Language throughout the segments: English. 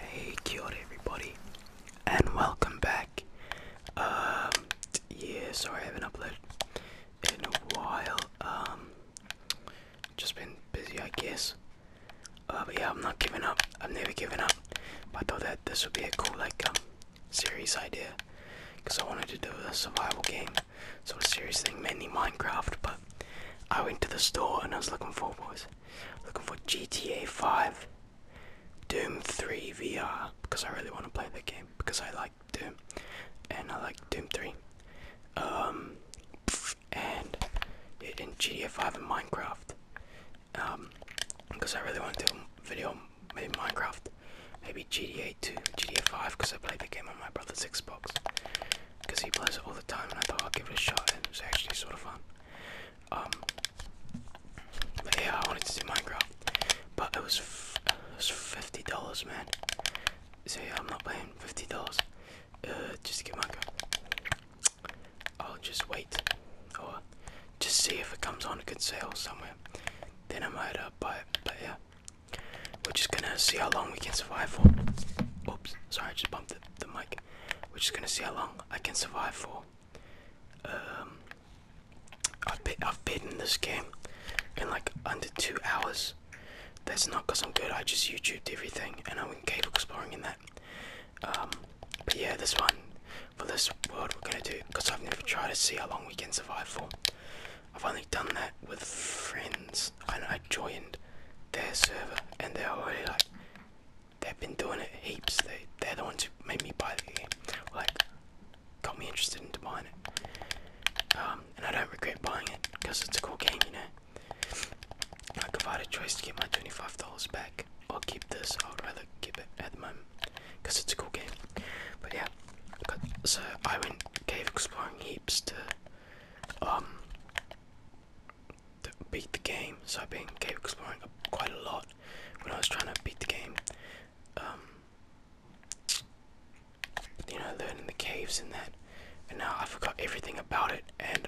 Hey, kia everybody, and welcome back. Um, yeah, sorry I haven't uploaded in a while. Um, just been busy, I guess. Uh, but yeah, I'm not giving up. i have never given up. But I thought that this would be a cool, like, um, series idea, because I wanted to do a survival game so a serious thing, mainly Minecraft. But I went to the store and I was looking for was looking for GTA 5, Doom 3 VR because I really want to play that game because I like Doom and I like Doom 3. Um, and in GTA 5 and Minecraft, um, because I really want to do a video in Minecraft. Maybe GTA 2, GTA 5, because I played the game on my brother's Xbox. Because he plays it all the time, and I thought i would give it a shot, and it was actually sort of fun. Um, yeah, I wanted to do Minecraft, but it was it was fifty dollars, man. So yeah, I'm not paying fifty dollars uh, just to get Minecraft. I'll just wait, or just see if it comes on a good sale somewhere. Then I might uh, buy it. But yeah, we're just gonna see how long we can survive for. Oops, sorry, I just bumped the, mic. We're just gonna see how long I can survive for. Um, I've, been, I've beaten this game in like under two hours. That's not because I'm good, I just YouTubed everything and I went cave exploring in that. Um, but yeah, this one, for this world, we're gonna do because I've never tried to see how long we can survive for. I've only done that with friends, and I joined their server, and they're already like, they've been doing it heaps. They, they're the ones who made me buy the game, like, got me interested into buying it. Um, and I don't regret buying it because it's a cool game, you know. i if I had a choice to get my twenty-five dollars back or keep this, I would rather keep it at the moment because it's a cool game. But yeah, so I went cave exploring here um, to beat the game. So I've been game exploring quite a lot when I was trying to beat the game. Um, you know, learning the caves and that. And now I forgot everything about it, and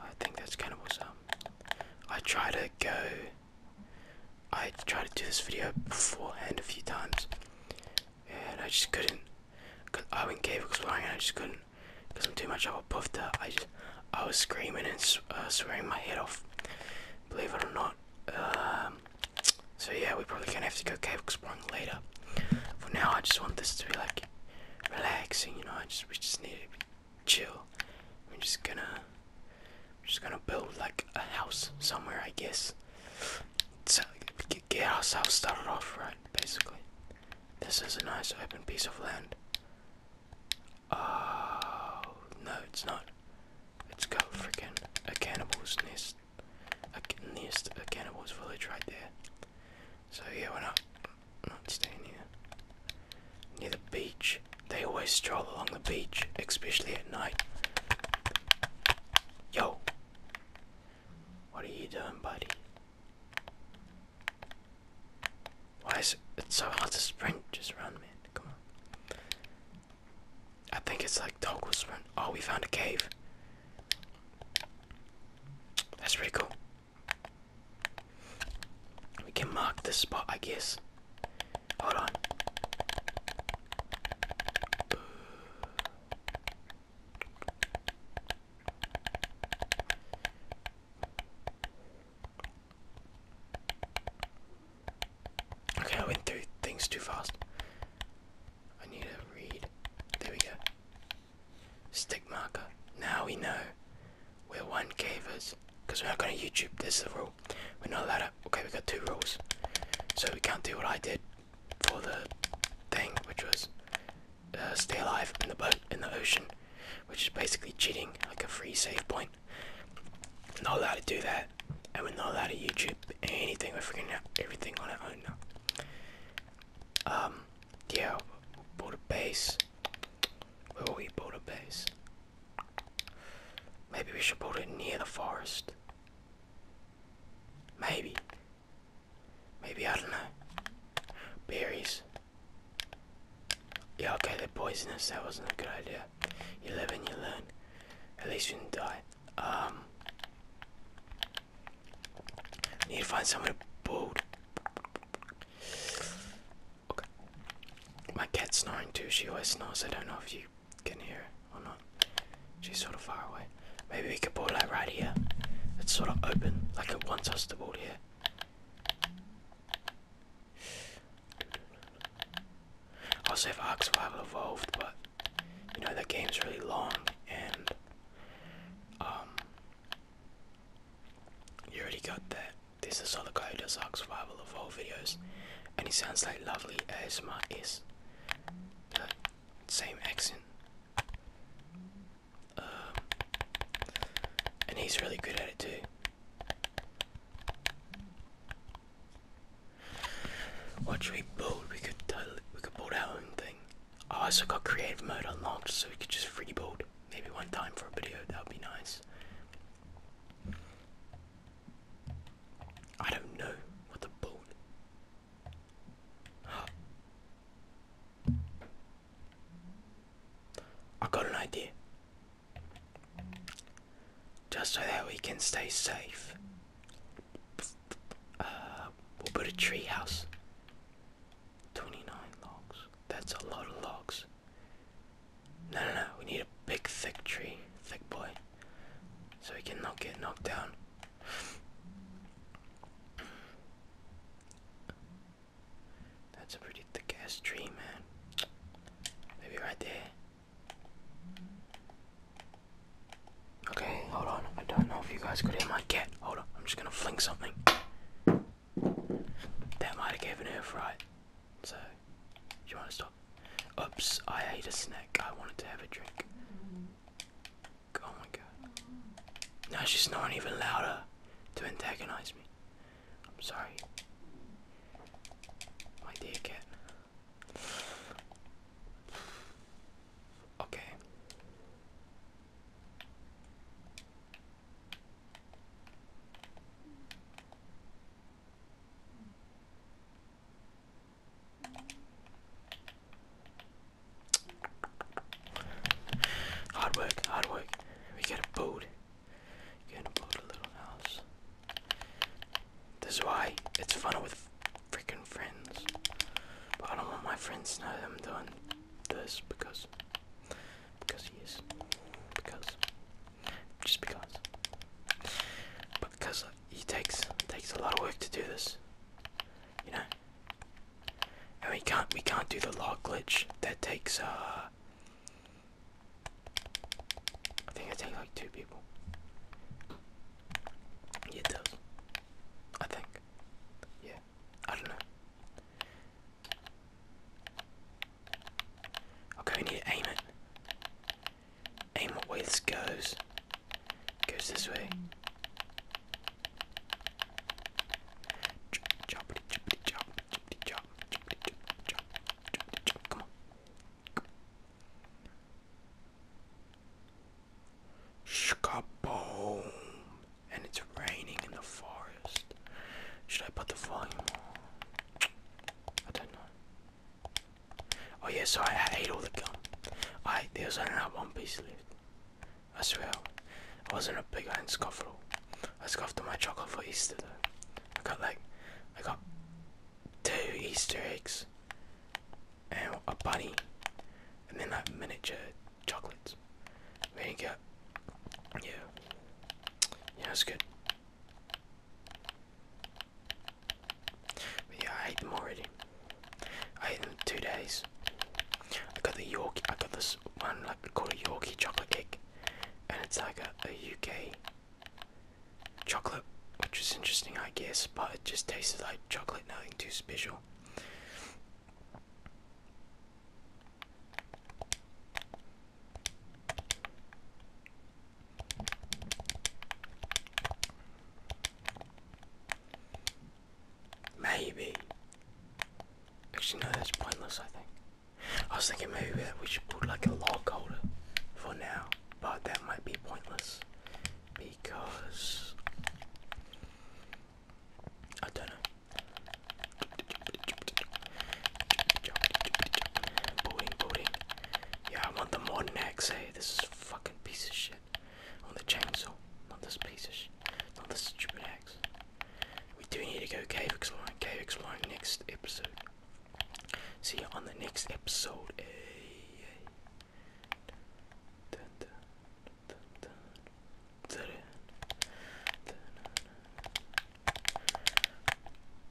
I think that's kind of what's up. I try to go. I tried to do this video beforehand a few times, and I just couldn't. Cause I went cave exploring and I just couldn't, cause I'm too much of a puffed up. I just, I was screaming and uh, swearing my head off. Believe it or not. Um, so yeah, we probably gonna have to go cave exploring later. For now, I just want this to be like relaxing, you know. I just, we just need to chill. We're just gonna, we're just gonna build like a house somewhere, I guess get ourselves started off right, basically. This is a nice open piece of land. Oh, no, it's not. It's got freaking a cannibal's nest. A nest, a cannibal's village right there. So, yeah, we're not, not staying here. Near the beach. They always stroll along the beach, especially at night. Yo, what are you doing, buddy? Why is it so hard to sprint? Just run, man. Come on. I think it's like toggle sprint. Oh, we found a cave. That's pretty cool. We can mark this spot, I guess. Hold on. Okay, I went through things too fast. I need to read. There we go. Stick marker. Now we know where one cave Because we're not going to YouTube. This is the rule. We're not allowed to. Okay, we got two rules. So we can't do what I did for the thing, which was uh, stay alive in the boat in the ocean, which is basically cheating, like a free save point. I'm not allowed to do that, and we're not allowed to use YouTube anything. We're freaking out everything on our own now. Um, yeah, build a base. Where will we build a base? Maybe we should build it near the forest. Maybe. Maybe, I don't know. Berries. Yeah, okay, they're poisonous. That wasn't a good idea. You live and you learn. At least you didn't die. Um. Need to find somewhere to build. Okay. My cat's snoring too. She always snores. I don't know if you can hear Hold on. She's sort of far away. Maybe we could ball it right here. It's sort of open, like it wants us to ball here. Also have Ark Survival Evolved, but you know that game's really long and um you already got that. There's this other guy who does Ark Survival Evolved videos and he sounds like lovely ASMR is same accent. Um, and he's really good at it too. What we build? We could totally, we could build our own thing. I also got creative mode unlocked, so we could just free build maybe one time for a video. That would be nice. I don't know what the I got an idea. Just so that we can stay safe, uh, we'll build a tree house. 29 logs. That's a lot of logs. No, no, no. We need a big, thick tree. Thick boy so he cannot get knocked down. That's a pretty thick ass tree, man. Maybe right there. Okay, hold on. I don't know if you guys could hear my cat. Hold on, I'm just gonna fling something. That might have given her a fright. So, do you want to stop? Oops, I ate a snack. I wanted to have a drink. Oh my god. Now she's snoring even louder to antagonize me. I'm sorry. My dear cat. Okay. Hard work, hard work. We get a boat. Get a boat, a little house. This is why it's fun with freaking friends. But I don't want my friends to know I'm doing this because, because he is, because, just because because it takes takes a lot of work to do this, you know. And we can't we can't do the log glitch. That takes uh, I think it takes like two people. it does. I think. Yeah, I don't know. Okay, we need to aim this goes goes this way. Chop, chop, chop, Come on. Shkaboom! And it's raining in the forest. Should I put the volume I don't know. Oh yeah, so I ate all the gum. I there's only one piece left. I swear, I wasn't a big iron scuffle. I scoffed my chocolate for Easter I got like, I got two Easter eggs and a bunny, and then like miniature chocolates. We didn't yeah, yeah, that's good yeah, I hate them already. I hate them two days. I got the Yorkie, I got this one like called a Yorkie chocolate cake, and it's like a, a UK chocolate, which is interesting, I guess, but it just tasted like chocolate, nothing too special. Maybe. Actually, no, that's pointless, I think. I was thinking maybe we should put like a log holder for now, but that might be pointless because I don't know. Yeah, I want the modern axe. Eh? This is fucking piece of shit on the chainsaw, not this piece of shit, not this stupid axe. We do need to go cave exploring, cave exploring next episode. See you on the next episode. Ay, ay. Dun, dun, dun, dun, dun, dun, dun, dun.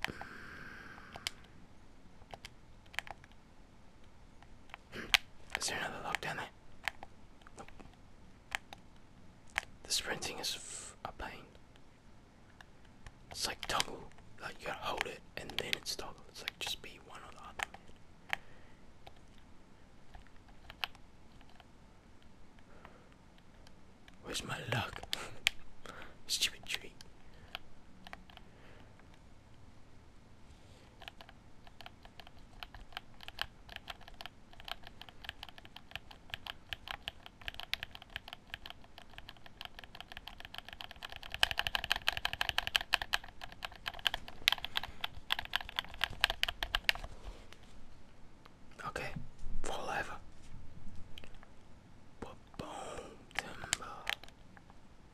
Mm. Is there another lock down there? The sprinting is a pain. It's like toggle. Like you gotta hold it and then it's toggle. It's like just be one or the other. Where's my luck? Stupid tree. Okay, forever. But boom, timber. Eh, Let eh.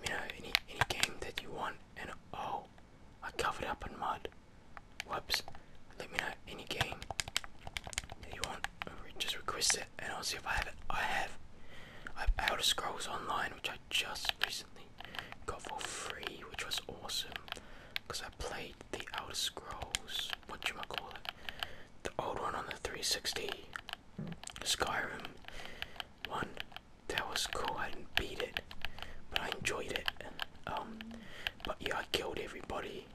me know any any game that you want and oh I covered up in mud. Whoops. Let me know any game that you want. Just request it and I'll see if I have it. I have I have Elder Scrolls Online which I just recently got for free which was awesome because I played the Outer Scrolls, what you might call it, the old one on the 360, Skyrim one. That was cool. I didn't beat it, but I enjoyed it. Um, but yeah, I killed everybody,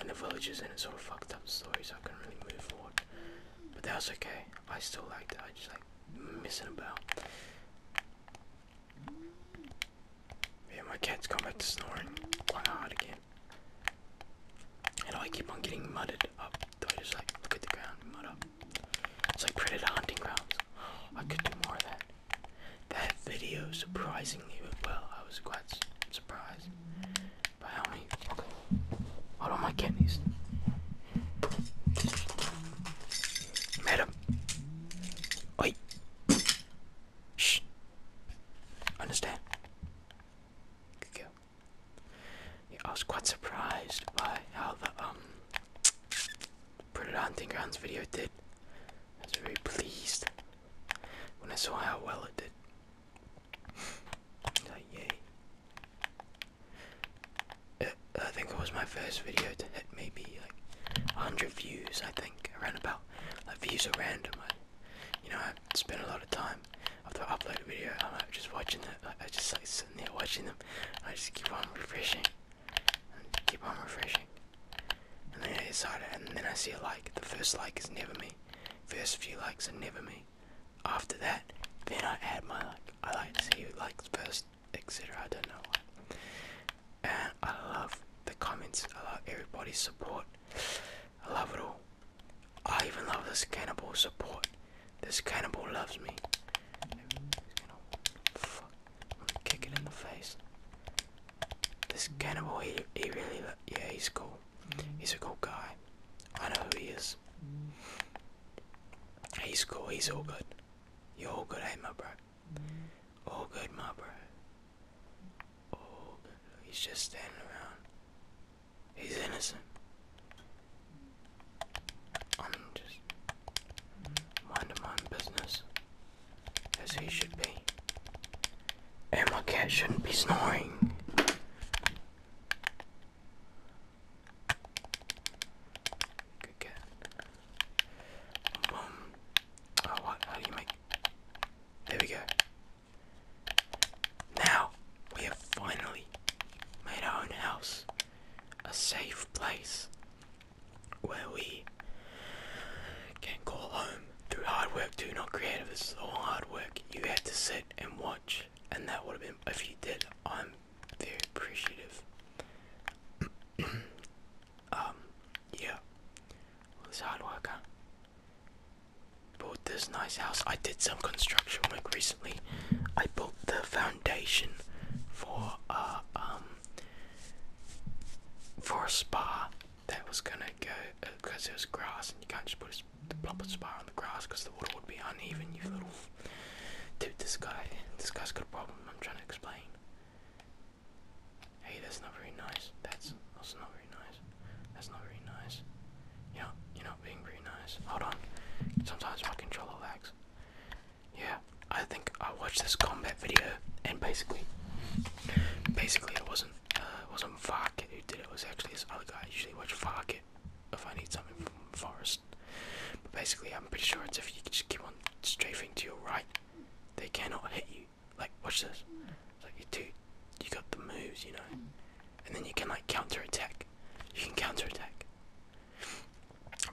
and the villagers, and it's all fucked up story, so I couldn't really move forward. But that was okay. I still liked it. I just like missing about. Yeah, my cat's gone back to snoring quite hard again. And I keep on getting mudded up. Do I just like look at the ground and mud up? It's like pretty hunting grounds. I could do more of that. That video surprisingly went well. I was quite surprised by how many. Okay. Hold on, my cat Madam. Oi. Shh. Understand? Good girl. I was quite surprised by how the um Predator Hunting Grounds video did. I was very pleased when I saw how well it did. Uh, yay. I think it was my first video to hit maybe like 100 views, I think, around about. Like views are random. Like, you know, I spend a lot of time after I upload a video. I'm like, just watching them. Like, I just like sitting there watching them. I just keep on refreshing and keep on refreshing. And then I decide, and then I see a like. The first like is never me. First few likes are never me. After that, then I add my like. I like to see like likes first, etc. I don't know why and I love the comments. I love everybody's support. I love it all. I even love this cannibal support. This cannibal loves me. Fuck. I'm gonna kick it in the face. This cannibal, he, he really, yeah, he's cool. He's a cool guy. I know who he is. He's cool. He's all good. You're all good, hey, my bro. All good, my bro. All good. He's just standing around. He's innocent. I'm just minding my own business, as he should be. And my cat shouldn't be snoring. Good cat. Boom. Oh, what? How do you make? There we go. Now we have finally made our own house a safe place where we can call home through hard work. Do not create This is all hard work. You had to sit and watch, and that would have been if you did. I'm very appreciative. um, yeah. All this hard worker huh? Bought this nice house. I did some construction work recently. I built the foundation for a uh, um for a spa that was gonna go because uh, was grass and you can't just put a proper spa on the grass because the water would be uneven. You little dude, this guy, this guy's got a problem. I'm trying to explain. Hey, that's not very nice. That's also not very nice. That's not very nice. You know, you're not being very nice. Hold on. Sometimes my controller lags. Yeah, I think I watched this combat video, and basically, basically it wasn't uh, it wasn't Varkit who did it. was actually this other guy. usually watch Varkit if I need something from Forest. But basically, I'm pretty sure it's if you just keep on strafing to your right, they cannot hit you like watch this. like you dude, you got the moves, you know. And then you can like counter attack. You can counter attack.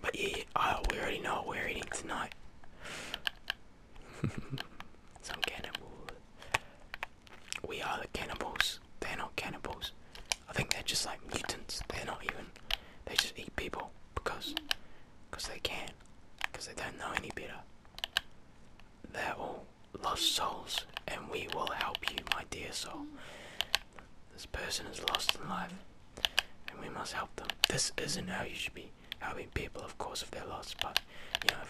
But yeah, oh, we already know what we're eating tonight. Some cannibal. We are the cannibals. They're not cannibals. I think they're just like mutants. They're not even. They just eat people because, because they can because they don't know any better. They're all lost souls, and we will help you, my dear soul. This person is lost in life, and we must help them. This isn't how you should be helping people, of course, if they're lost, but you know,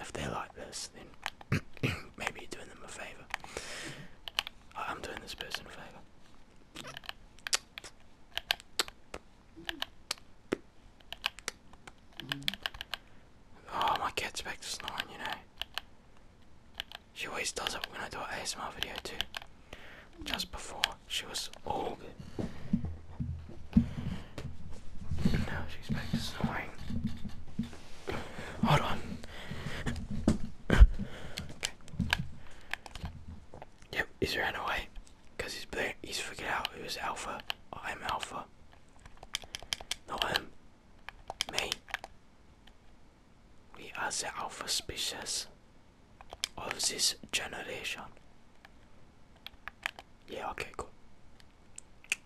if they're like this, then maybe you're doing them a favor. I'm doing this person a favor. Oh, my cat's back to snoring, you know. She always does it when I do an ASMR video too. Just before, she was all good. Now she's back to snoring. Hold on. Yep, he's ran away because he's playing, he's figured out it was Alpha. Oh, I'm Alpha. Not him. Me. We are the Alpha species of this generation. Yeah, okay, cool.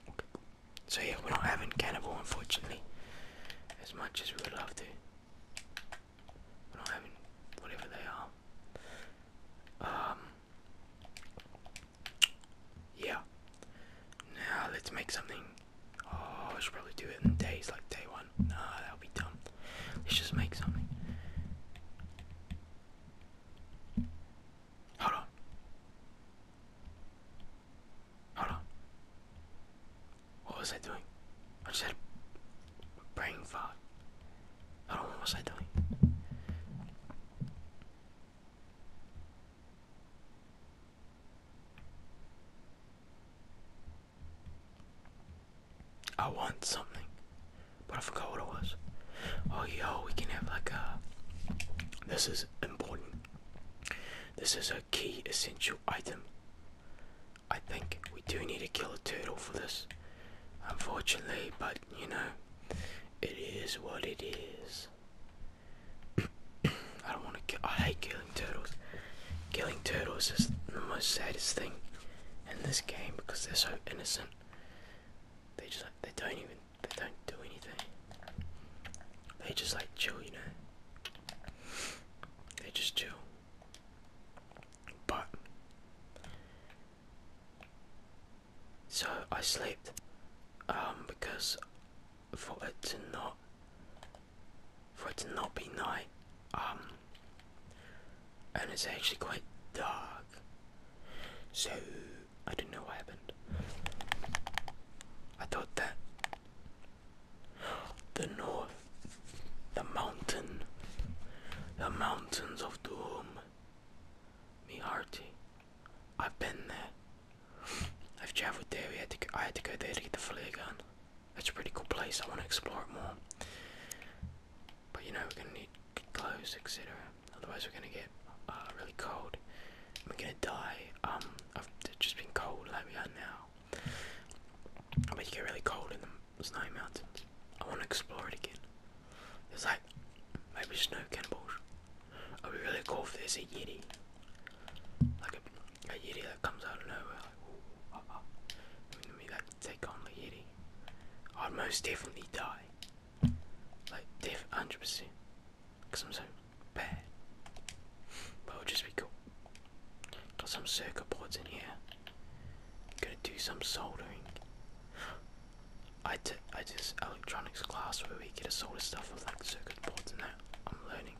Okay. So yeah, we're not having cannibal unfortunately, as much as we would love to whatever they are. Um, yeah. Now let's make something. Oh, I should probably do it in days, like day one. No, that'll be dumb. Let's just make something. Hold on. Hold on. What was I doing? I just brain fart. I what was I doing. I want something, but I forgot what it was. Oh, yo, we can have like a. This is important. This is a key essential item. I think we do need to kill a turtle for this unfortunately, but you know, it is what it is. I don't want to. I hate killing turtles. Killing turtles is the most saddest thing in this game because they're so innocent. They just like, they don't even they don't do anything. They just like chill, you know. They just chill. But so I slept um, because for it to not for it to not be night um, and it's actually quite dark. So I don't know what happened. I thought that the north the mountain, the mountains of doom. Me hearty, I've been there. I've traveled there. I had to go there to get the flare gun. That's a pretty cool place. I want to explore it more. But you know, we're gonna need clothes, etc. Otherwise, we're gonna get uh, really cold. We're gonna die. Um, I've just been cold like we are now. I you get really cold in the snowy mountain. I want to explore it again. It's like maybe snow cannibals. It would be really cool if there's a yeti. Like a, yeti that comes out of nowhere. Like, I ah, ah. we like take on the yeti. I'd most definitely die. Like, def 100%. Because I'm so bad. But it would just be cool. Got some circuit boards in here. I'm gonna do some soldering. I, I did electronics class where we get to solder stuff with like circuit boards and that. I'm learning.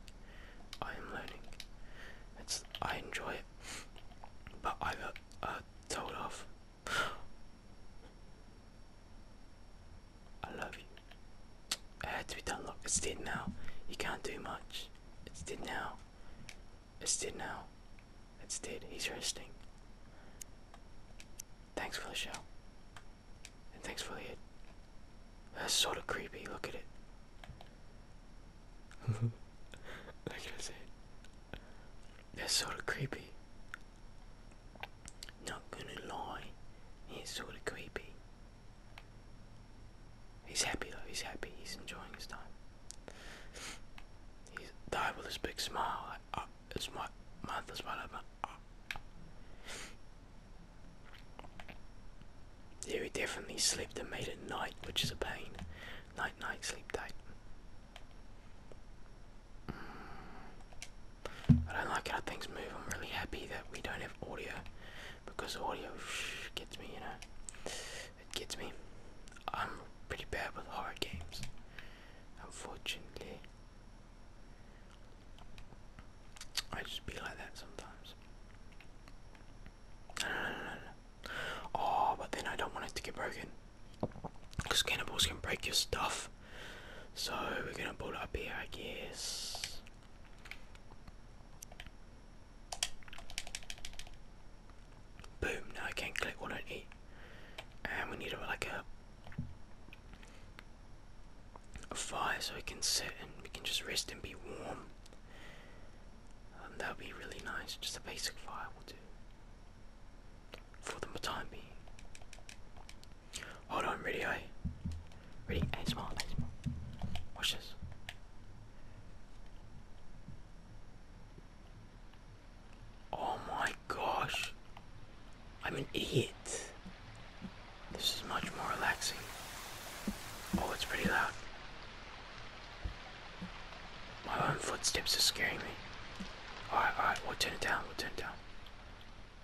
I am learning. It's I enjoy it, but I got uh, told off. I love you. It had to be done. Look, it's dead now. You can't do much. It's dead now. It's dead now. It's dead. He's resting. Thanks for the show. And thanks for the That's sort of creepy. Look at it. Look at his head. That's sort of creepy. Not gonna lie. He's sort of creepy. He's happy though. He's happy. He's enjoying his time. Uh. He died with his big smile. Like, oh, my mouth is wide open. Yeah, we definitely slept and made it night, which is a pain. Night, night, sleep tight. Mm. I don't like how things move. I'm really happy that we don't have audio because audio gets me, you know. It gets me. I'm pretty bad with horror games, unfortunately. I just be like that sometimes. No, Oh, but then I don't want it to get broken. Because cannibals can break your stuff. So we're gonna build up here, I guess. Boom, now I can click what I need. And we need a, like a, fire so we can sit and we can just rest and be warm. that would be really nice. Just a basic fire will do. For the time Hold on, ready, I Ready, and smart, and smart. Watch this. Oh my gosh. I'm an idiot. This is much more relaxing. Oh, it's pretty loud. My own footsteps are scaring me. Alright, alright, we'll turn it down, we'll turn it down.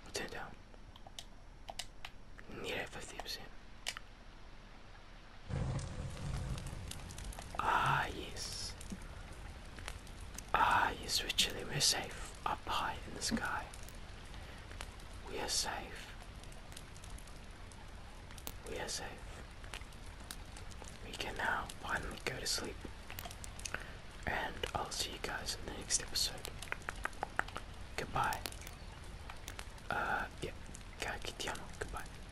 We'll turn it down. Need it 50%. Ah, yes. Ah, yes, we're We're safe up high in the sky. We are safe. We are safe. We can now finally go to sleep. And I'll see you guys in the next episode. Goodbye. Uh, yeah. Goodbye.